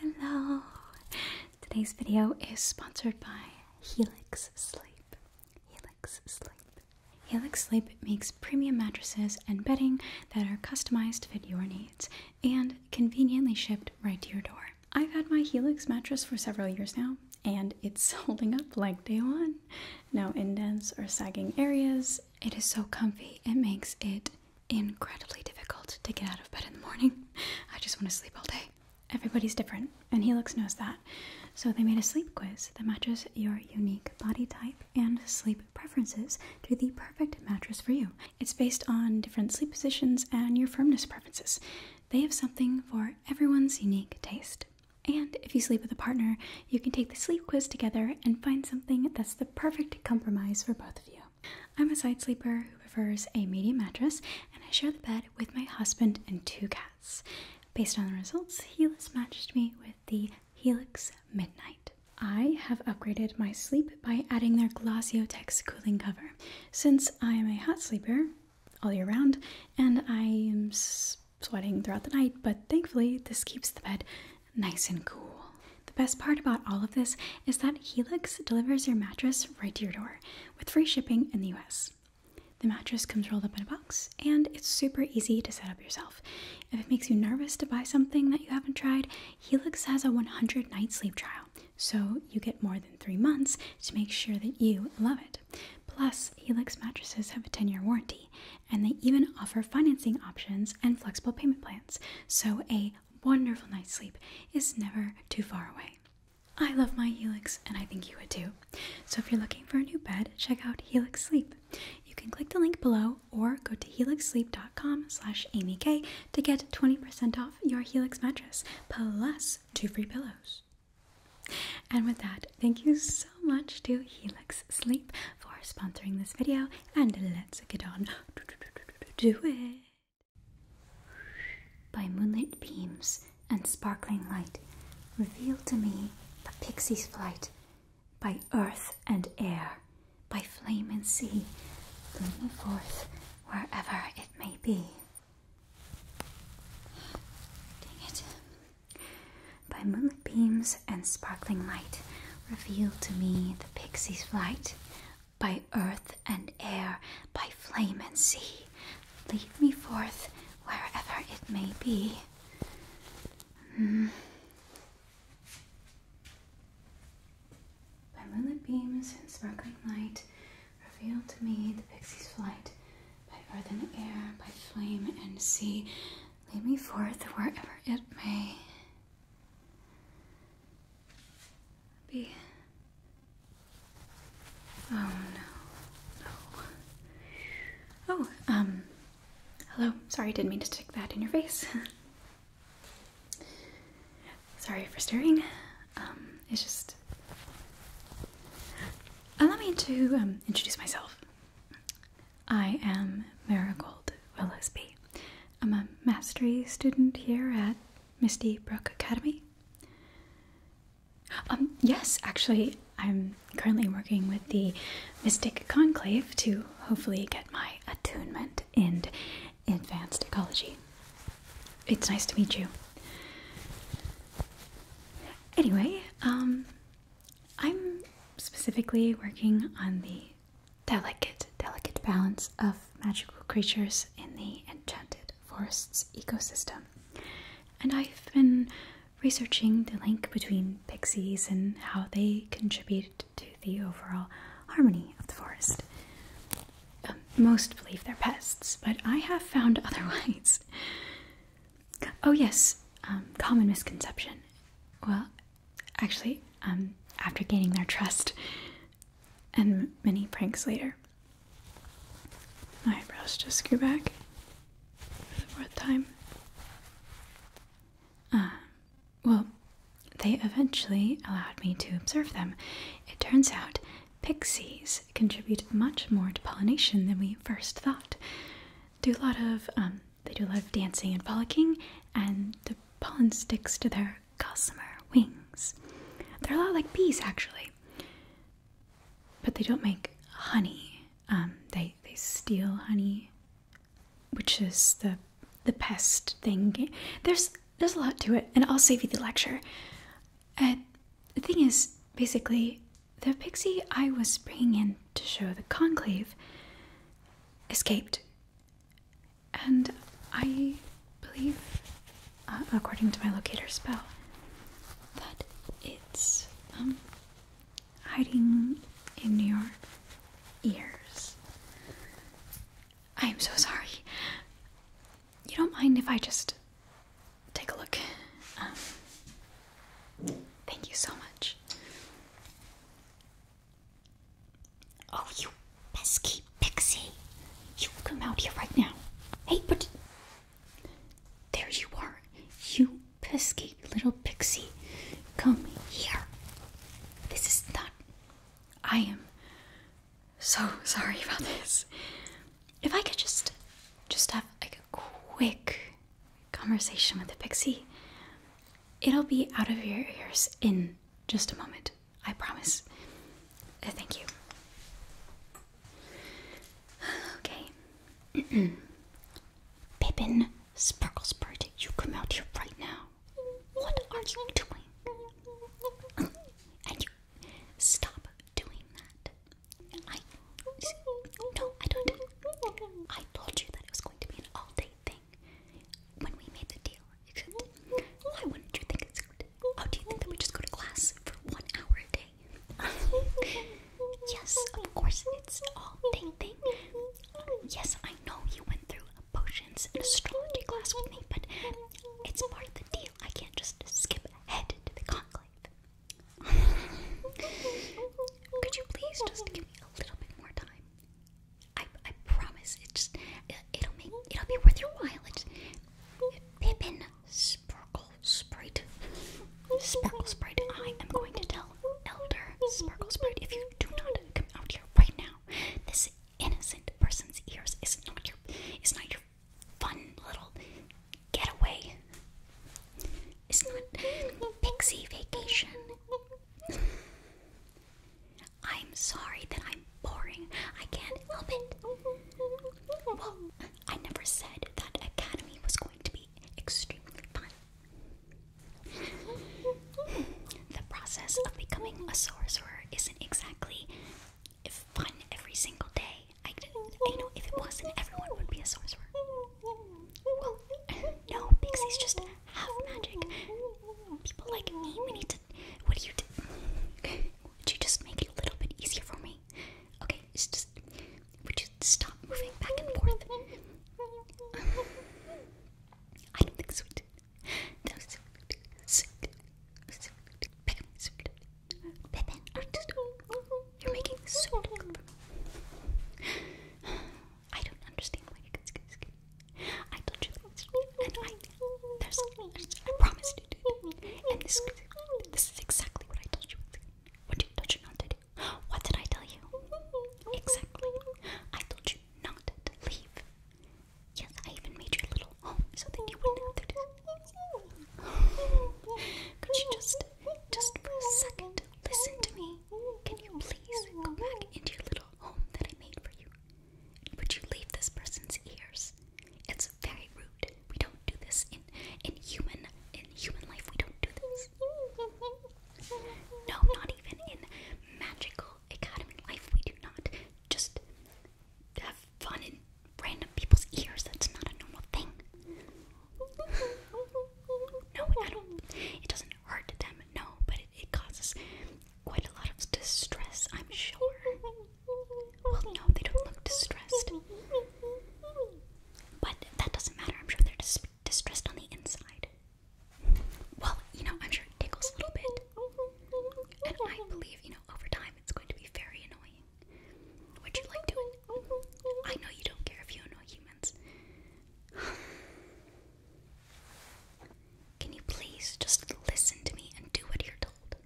Hello! Today's video is sponsored by Helix Sleep. Helix Sleep. Helix Sleep makes premium mattresses and bedding that are customized to fit your needs and conveniently shipped right to your door. I've had my Helix mattress for several years now and it's holding up like day one. No indents or sagging areas. It is so comfy, it makes it incredibly difficult to get out of bed in the morning. I just want to sleep all day. Everybody's different, and Helix knows that. So they made a sleep quiz that matches your unique body type and sleep preferences to the perfect mattress for you. It's based on different sleep positions and your firmness preferences. They have something for everyone's unique taste. And if you sleep with a partner, you can take the sleep quiz together and find something that's the perfect compromise for both of you. I'm a side sleeper who prefers a medium mattress, and I share the bed with my husband and two cats. Based on the results, Helix matched me with the Helix Midnight. I have upgraded my sleep by adding their Glaciotex cooling cover. Since I am a hot sleeper all year round and I am sweating throughout the night, but thankfully this keeps the bed nice and cool. The best part about all of this is that Helix delivers your mattress right to your door with free shipping in the US. The mattress comes rolled up in a box and it's super easy to set up yourself. If it makes you nervous to buy something that you haven't tried, Helix has a 100 night sleep trial, so you get more than three months to make sure that you love it. Plus, Helix mattresses have a 10 year warranty, and they even offer financing options and flexible payment plans. So, a wonderful night's sleep is never too far away. I love my Helix and I think you would too. So if you're looking for a new bed, check out Helix Sleep. You can click the link below or go to helixsleep.com slash amyk to get 20% off your Helix mattress plus two free pillows. And with that, thank you so much to Helix Sleep for sponsoring this video and let's get on do it. By moonlit beams and sparkling light, reveal to me the pixie's flight. By earth and air, by flame and sea, bring me forth wherever it may be. By moonlit beams and sparkling light, reveal to me the pixie's flight by earth and air, by flame and sea. Lead me forth wherever it may be. By hmm. moonlit beams and sparkling light, reveal to me the pixie's flight. By earth and air, by flame and sea, lead me forth wherever it may. Be. Oh no, no. Oh, um, hello. Sorry, didn't mean to stick that in your face. Sorry for staring. Um, it's just. Allow me to um, introduce myself. I am Marigold Willisby. I'm a mastery student here at Misty Brook Academy? Um, yes, actually, I'm currently working with the Mystic Conclave to hopefully get my attunement in advanced ecology. It's nice to meet you. Anyway, um, I'm specifically working on the delicate, delicate balance of magical creatures in the enchanted forest's ecosystem. And I've been researching the link between pixies and how they contribute to the overall harmony of the forest. Um, most believe they're pests, but I have found otherwise. Oh, yes, um, common misconception. Well, actually, um, after gaining their trust, and many pranks later. My eyebrows just grew back for the fourth time. Uh, well, they eventually allowed me to observe them. It turns out pixies contribute much more to pollination than we first thought. Do a lot of um, they do a lot of dancing and frolicking, and the pollen sticks to their are gossamer wings. They're a lot like bees, actually, but they don't make honey. Um, they they steal honey, which is the the pest thing. There's there's a lot to it, and I'll save you the lecture. Uh, the thing is, basically, the pixie I was bringing in to show the conclave escaped and I believe, uh, according to my locator spell, that it's um, hiding in your ears. I am so sorry. You don't mind if I just take a look? Um, thank you so much. Oh, you pesky pixie. You come out here right now. Hey, but. There you are. You pesky little pixie. Come here. This is not. I am so sorry about this. If I could just. Just have like a quick conversation with the pixie, it'll be out of your ears in just a moment. I promise. Uh, thank you. Okay. Pippin Sparklesprut, you come out here right now. What are you doing? And you stop doing that. I no, I don't. I told you that it was going to be an all-day when we made the deal. why wouldn't you think it's good? Oh, do you think that we just go to class for one hour a day? yes, of course, it's all thing thing. Yes, I know you went through potions and astrology class with me, but it's part of the deal. I can't just skip ahead to the conclave. Could you please just give me a little bit more time? I I promise it just it, uh, it'll make it'll be worth your while. It's Pippin Sparkle Sprite. Sparkle Sprite. I am going to tell Elder Sparkle Sprite if you do not come out here right now. This innocent person's ears is not your is not your fun little getaway. It's not pixie vacation. I'm sorry that I'm boring. I can't help it. Well, I never said that academy was going to be extremely fun. The process of becoming a sorcerer isn't exactly fun every single day. I, know if it wasn't, everyone would be a sorcerer. Well, no, Pixie's just half magic. People like me, need to did, what you did. Would you just make it a little bit easier for me? Okay, it's just, would you stop moving back and forth? I don't think so. you're making so good. I don't understand I told you last week, and I, there's, I promised to do it, And this, this is exactly what I told you. What did, told you not to do? What did I tell you? Exactly. I told you not to leave. Yes, I even made your little home so that you wouldn't have to do this. Could you just, just for a second, listen to me? Can you please go back into your little home that I made for you? Would you leave this person's ears? It's very rude. We don't do this in in human in human life. We don't do this. No, not even in magical academy life. We do not just have fun in random people's ears. That's not a normal thing. No, I don't. It doesn't hurt them. No, but it causes quite a lot of distress, I'm sure. Well, no, they don't look distressed. But that doesn't matter. I'm sure they're distressed on the inside. Well, you know, I'm sure it tickles a little bit. And I believe, you know, over time it's going to be very annoying. Would you like to? I know you don't care if you annoy humans. Can you please just listen to me and do what you're told?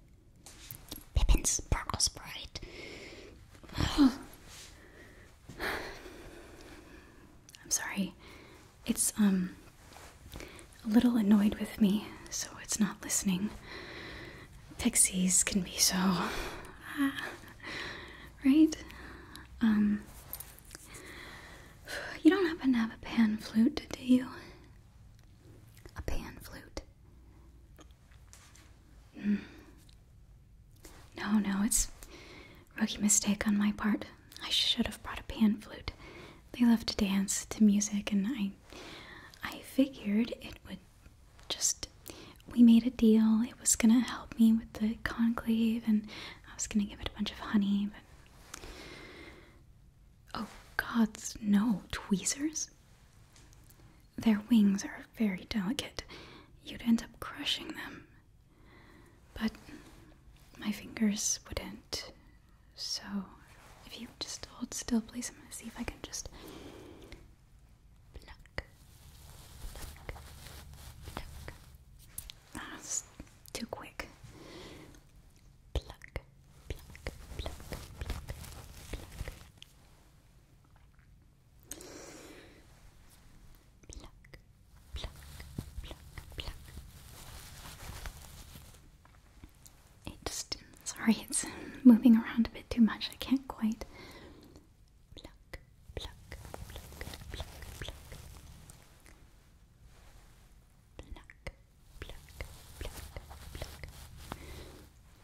Pippin's sparkle sprite. I'm sorry. It's, um, a little annoyed with me, so it's not listening. Pixies can be so. right? Um. You don't happen to have a pan flute, do you? A pan flute. Hmm. No, no, it's rookie mistake on my part. I should have brought a pan flute. They love to dance to music and I I figured it would just we made a deal. It was gonna help me with the conclave and I was gonna give it a bunch of honey, but Oh, gods, no, tweezers? Their wings are very delicate. You'd end up crushing them. But my fingers wouldn't. So, if you just hold still, please, I'm gonna see if I can just pluck, pluck, pluck. Ah, too quick. Pluck, sorry, it's moving around a bit too much. I can't quite.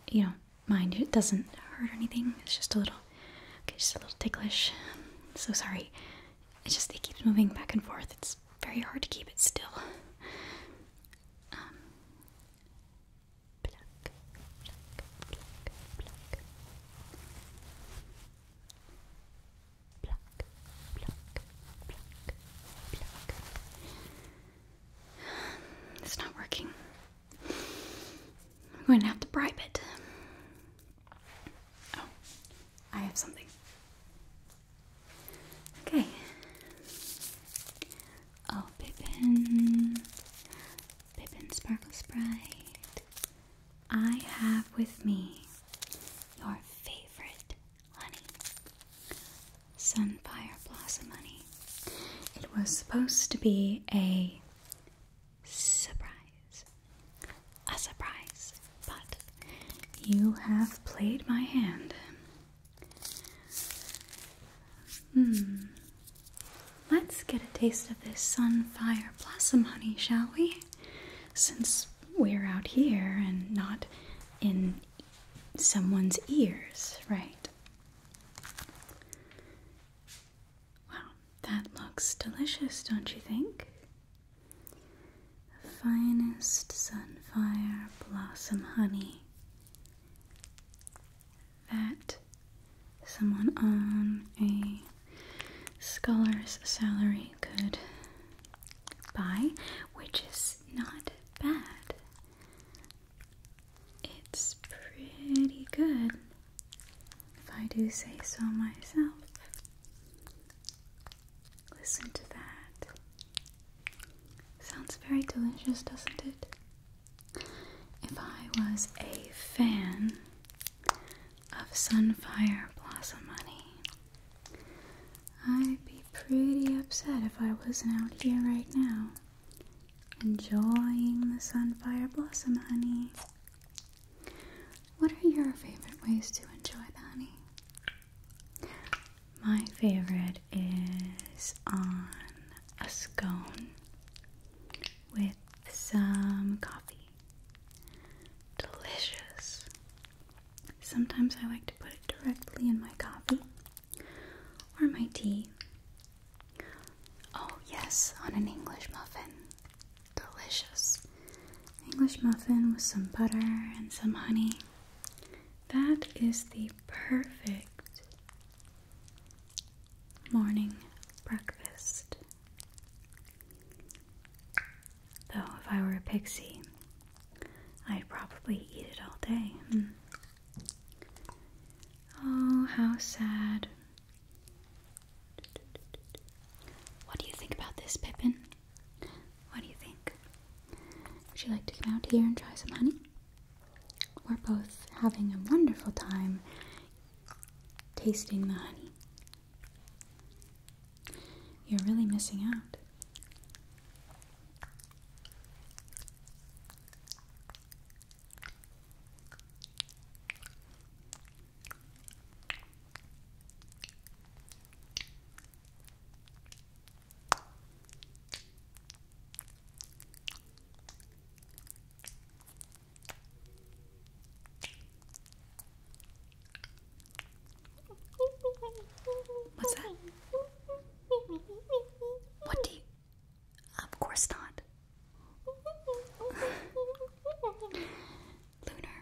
You know, mind, it doesn't hurt or anything. It's just a little, okay, just a little ticklish. so sorry. It just, keeps moving back and forth. It's very hard to keep it still. Um, it's not working. I'm going to have to bribe it. Oh, I have something. Okay. Oh, Pippin. Pippin Sparkle Sprite. I have with me your favorite Sunfire Blossom Honey. It was supposed to be a surprise. A surprise. But you have played my hand. Hmm. Let's get a taste of this Sunfire Blossom Honey, shall we? Since we're out here and not in someone's ears, right? Wow, that looks delicious, don't you think? Finest sunfire blossom honey that someone on a scholar's salary could by, which is not bad. It's pretty good, if I do say so myself. Listen to that. Sounds very delicious, doesn't it? If I was a fan of Sunfire Blossom Honey, I'd be pretty upset if I wasn't out here right now, enjoying the sunfire blossom honey. What are your favorite ways to enjoy the honey? My favorite is on a scone with some coffee. Delicious. Sometimes I like to put it directly in my coffee or my tea. Oh, yes, on an English muffin. Delicious. English muffin with some butter and some honey. That is the perfect morning breakfast. Though, if I were a pixie, I'd probably eat it all day. Hmm. Oh, how sad. What do you think about this, Pippin? What do you think? Would you like to come out here and try some honey? We're both having a wonderful time tasting the honey. You're really missing out. What's that? What do you. Of course not. Lunar.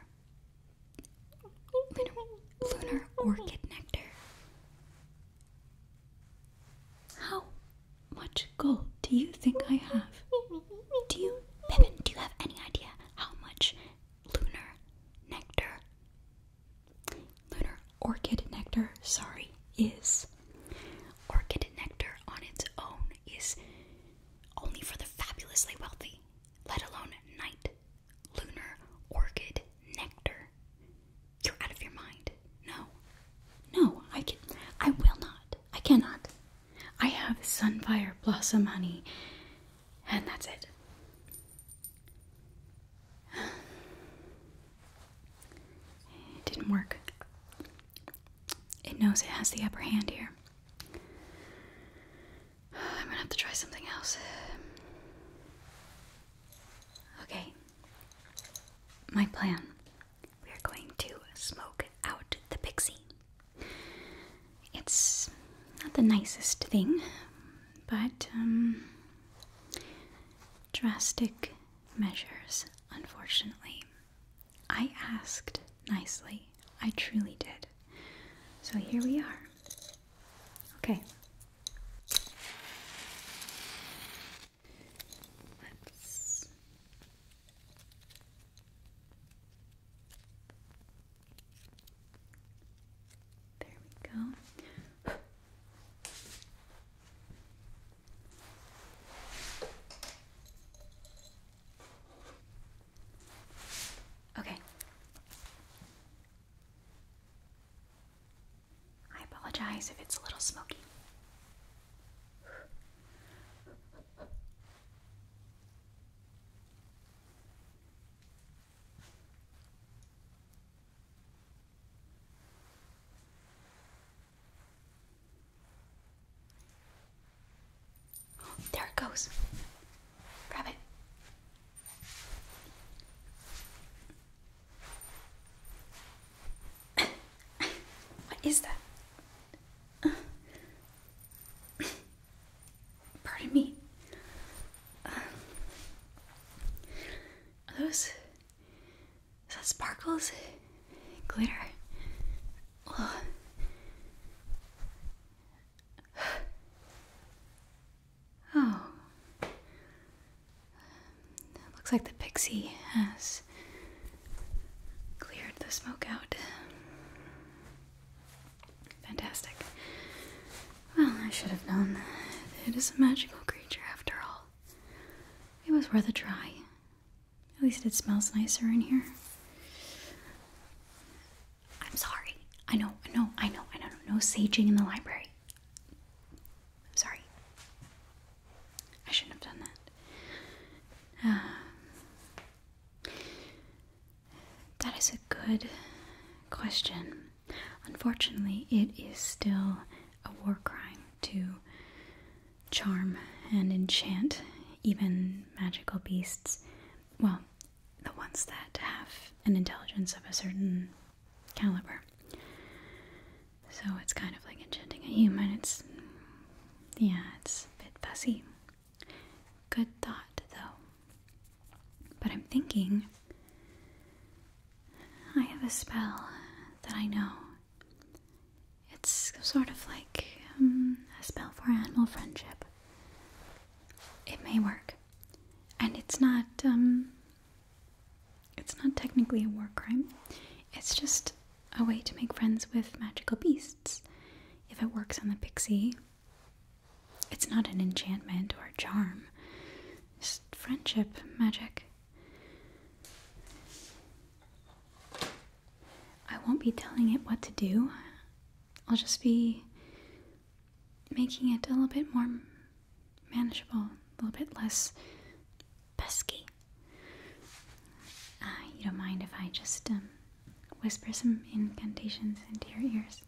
Lunar. Lunar orchid nectar. How much gold do you think I have? Do you, Pippin, do you have any idea how much lunar nectar, lunar orchid nectar, sorry, is orchid nectar on its own is only for the fabulously wealthy, let alone night lunar orchid nectar. You're out of your mind. No. No, I can I will not. I cannot. I have sunfire blossom honey and that's it. It didn't work. It knows it has the upper hand here. I'm gonna have to try something else. Okay. My plan. We're going to smoke out the pixie. It's not the nicest thing, but um, drastic measures, unfortunately. I asked nicely. I truly did. So here we are. Okay. Let's there we go. Okay. I apologize if it's a little smoky. There it goes. Grab it. what is that? Pardon me. Um, those. Is that sparkles? Glitter? Oh. looks like the pixie has cleared the smoke out. Fantastic. Well, I should have known. It is a magical creature after all. It was worth a try. At least it smells nicer in here. I'm sorry. I know, I know, I know, I know. No saging in the library. I'm sorry. I shouldn't have done that. Um, that is a good question. Unfortunately, it is still a war crime to charm and enchant even magical beasts. Well, the ones that have an intelligence of a certain caliber. So it's kind of like enchanting a human. It's, yeah, it's a bit fussy. Good thought, though. But I'm thinking I have a spell that I know. It's sort of like um, a spell for animal friendship. It may work. And it's not, um, it's not technically a war crime. It's just a way to make friends with magical beasts. If it works on the pixie, it's not an enchantment or a charm. It's friendship magic. I won't be telling it what to do. I'll just be making it a little bit more manageable, a little bit less pesky. Uh, you don't mind if I just um, whisper some incantations into your ears?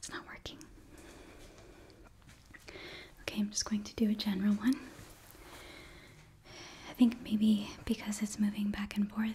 It's not working. Okay, I'm just going to do a general one. I think maybe because it's moving back and forth,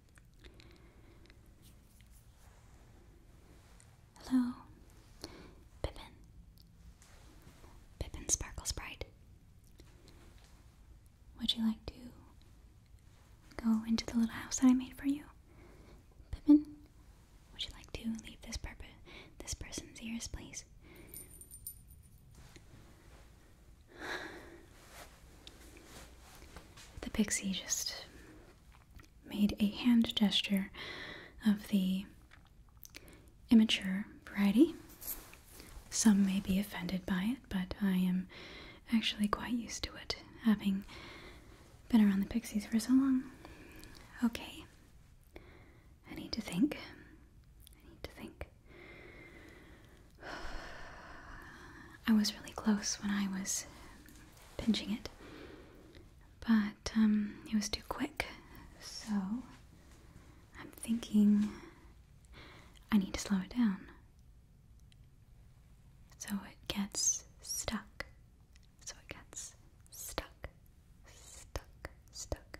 Hello, Pippin. Pippin Sparkle Sprite. Would you like to go into the little house that I made for you? Pippin, would you like to leave this this person's ears, please? The pixie just made a hand gesture of the immature variety. Some may be offended by it, but I am actually quite used to it, having been around the pixies for so long. Okay. I need to think. I need to think. I was really close when I was pinching it, but um, it was too quick, so I'm thinking I need to slow it down so it gets stuck. So it gets stuck, stuck, stuck.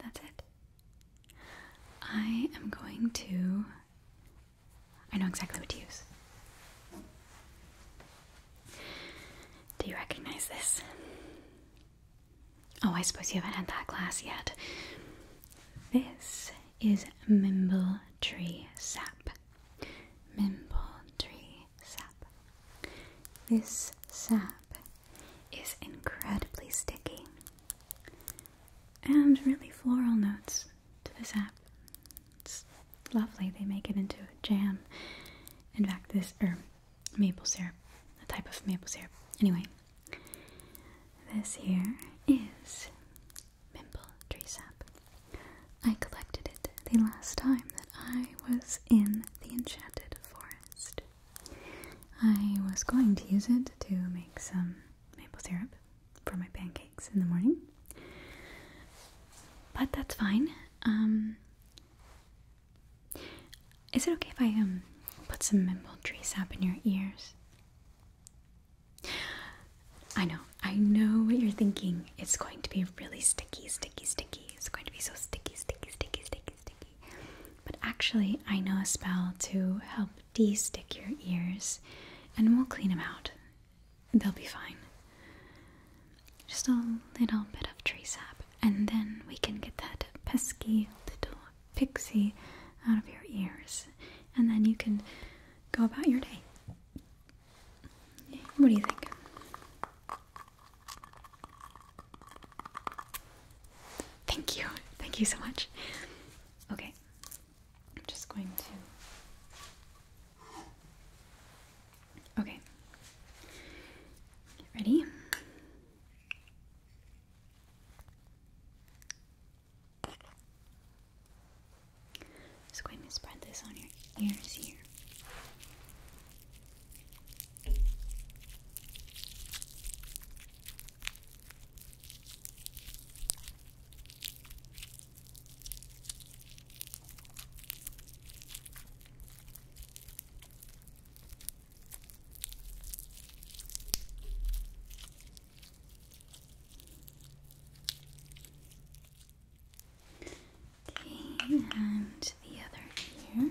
That's it. I am going to. I know exactly what to use. Do you recognize this? Oh, I suppose you haven't had that glass yet. This is Mimble Tree Sap. Mimble Tree Sap. This sap is incredibly sticky and really floral notes to this sap. It's lovely. They make it into a jam. In fact, this, or maple syrup, a type of maple syrup. Anyway, this here is Mimble Tree Sap. I collected it the last time that I was in the Enchanted Forest. I was going to use it to make some maple syrup for my pancakes in the morning. But that's fine. Um, is it okay if I um put some maple tree sap in your ears? I know, I know what you're thinking. It's going to be really sticky, sticky, sticky. It's going to be so sticky, sticky, sticky, sticky, sticky. But actually, I know a spell to help de-stick your ears and we'll clean them out. They'll be fine. Just a little bit of tree sap and then we can get that pesky little pixie out of your ears and then you can go about your day. What do you think? Thank you. Thank you so much. Okay, I'm just going to. Okay, get ready. Just going to spread this on your ears here. Okay, and the other ear.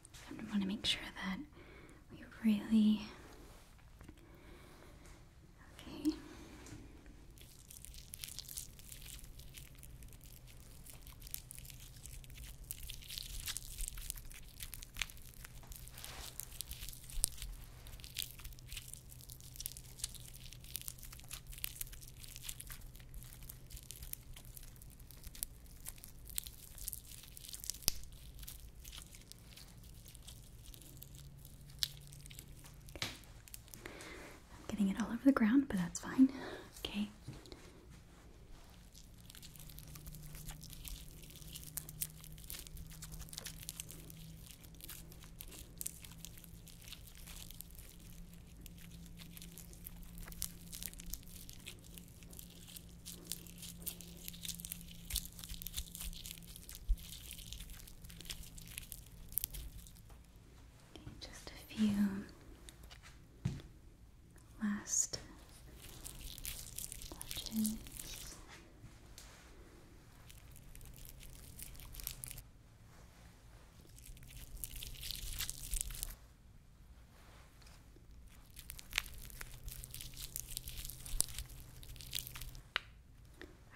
I want to make sure that we really. Okay. I'm getting it all over the ground, but that's fine. Okay. Okay, just a few last touches.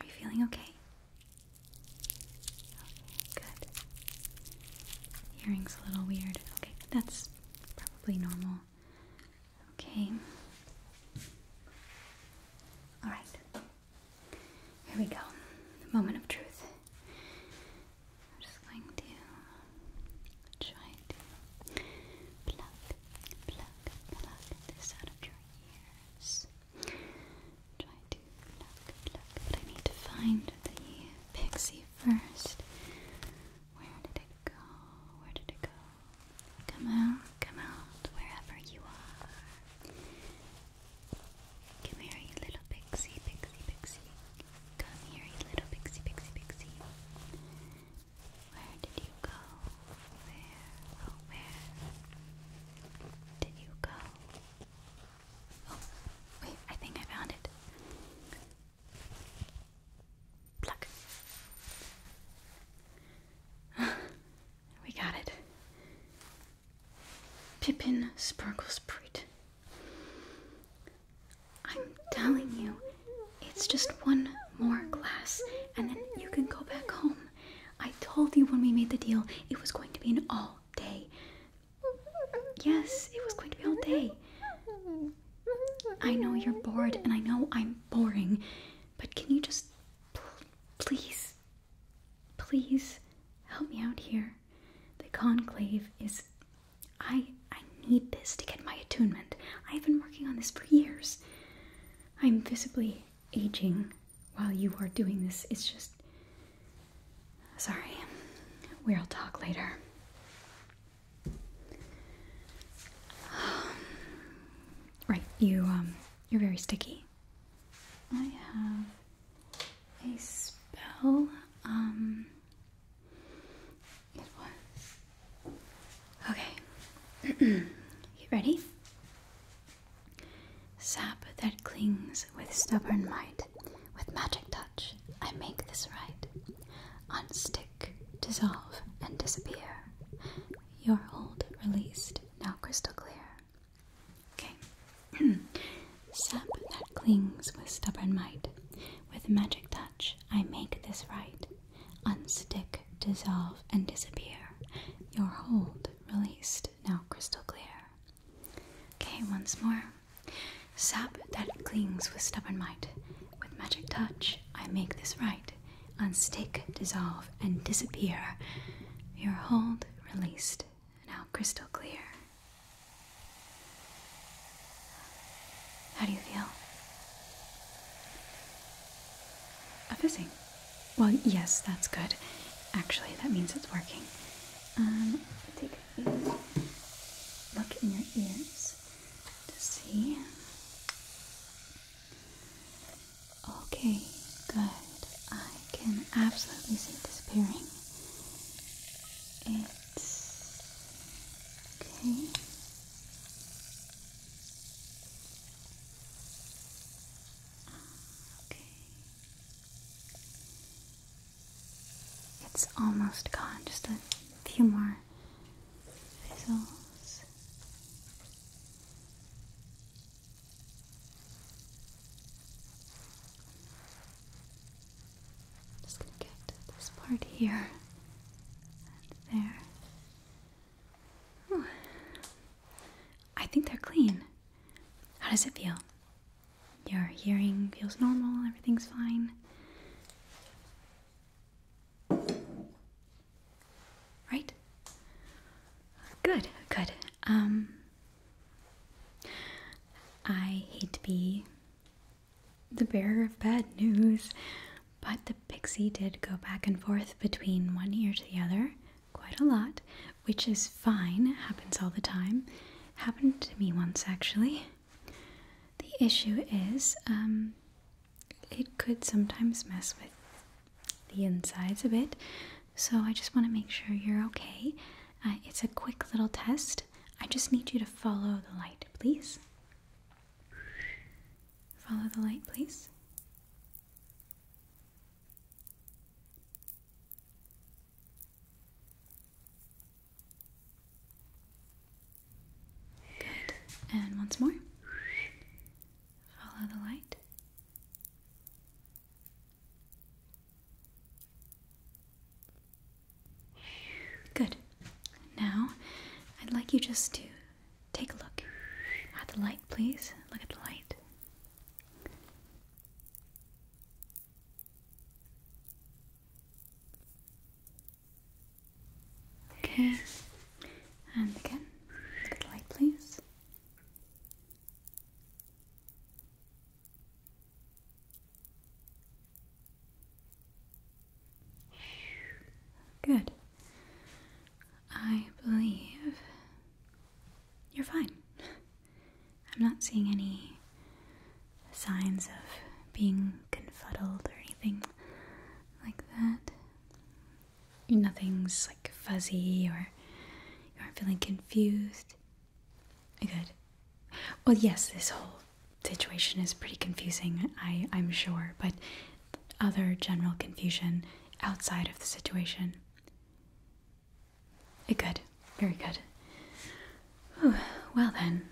Are you feeling okay? Okay, good. Hearing's a little weird. Okay, that's probably normal. Okay. Alright. Here we go. The moment of truth. I'm just going to try to pluck, pluck, pluck this out of your ears. Try to pluck, pluck, but I need to find the pixie first. Where did it go? Where did it go? Come out, come out, wherever you are. Come here, little pixie, pixie, pixie. Come here, you little pixie, pixie, pixie. Where did you go? Where, oh, where did you go? Oh, wait, I think I found it. Pluck. we got it. Pippin Sparkle Spreet. I'm telling you, it's just one more class, and then you can go back home. I told you when we made the deal it was going to be an all day. Yes, it was going to be all day. I know you're bored, and I know I'm boring, but can you just please, please help me out here? The conclave is I I need this to get my attunement. I've been working on this for years. I'm visibly aging while you are doing this. It's just sorry. We'll talk later. right, you um you're very sticky. I have a spell um Okay. you ready? Sap that clings with stubborn might, with magic touch, I make this right. Unstick, dissolve, and disappear. Your hold released, now crystal clear. Okay. Sap that clings with stubborn might, with magic touch, I make this right, unstick, dissolve, and disappear. Your hold released, now crystal clear. Okay, once more. Sap that clings with stubborn might. With magic touch, I make this right. Unstick, dissolve, and disappear. Your hold released, now crystal clear. How do you feel? A fizzing. Well, yes, that's good. Actually, that means it's working. Um, take a look in your ears to see. Okay, good. I can absolutely see it disappearing. It Okay. Okay. It's almost gone. Just a few more fizzles i just gonna get this part here and there. I think they're clean. How does it feel? Your hearing feels normal, everything's fine. Right? Good, good. Um I hate to be the bearer of bad news. But the pixie did go back and forth between one ear to the other quite a lot, which is fine, It happens all the time. Happened to me once actually. The issue is, um, it could sometimes mess with the insides a bit, so I just want to make sure you're okay. Uh, it's a quick little test. I just need you to follow the light, please. Follow the light, please. Good. And once more. Follow the light. Good. Now, I'd like you just to take a look at the light, please. Look at the light. Okay. And again, look at the light, please. Good. I believe you're fine. I'm not seeing any signs of being confuddled or anything like that. Nothing's like fuzzy or you aren't feeling confused. Good. Well, yes, this whole situation is pretty confusing, I, am sure, but other general confusion outside of the situation. Eh, good, very good. Well, then,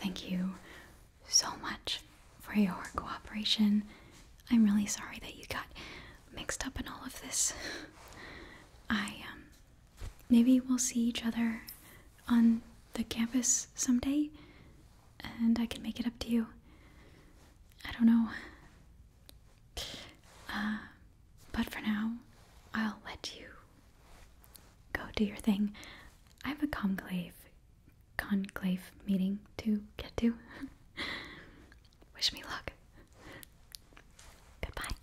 thank you so much for your cooperation. I'm really sorry that you got mixed up in all of this. I um, maybe we'll see each other on the campus someday and I can make it up to you. I don't know. Uh, but for now, I'll let you go do your thing. I have a conclave, conclave meeting to get to. Wish me luck. Goodbye.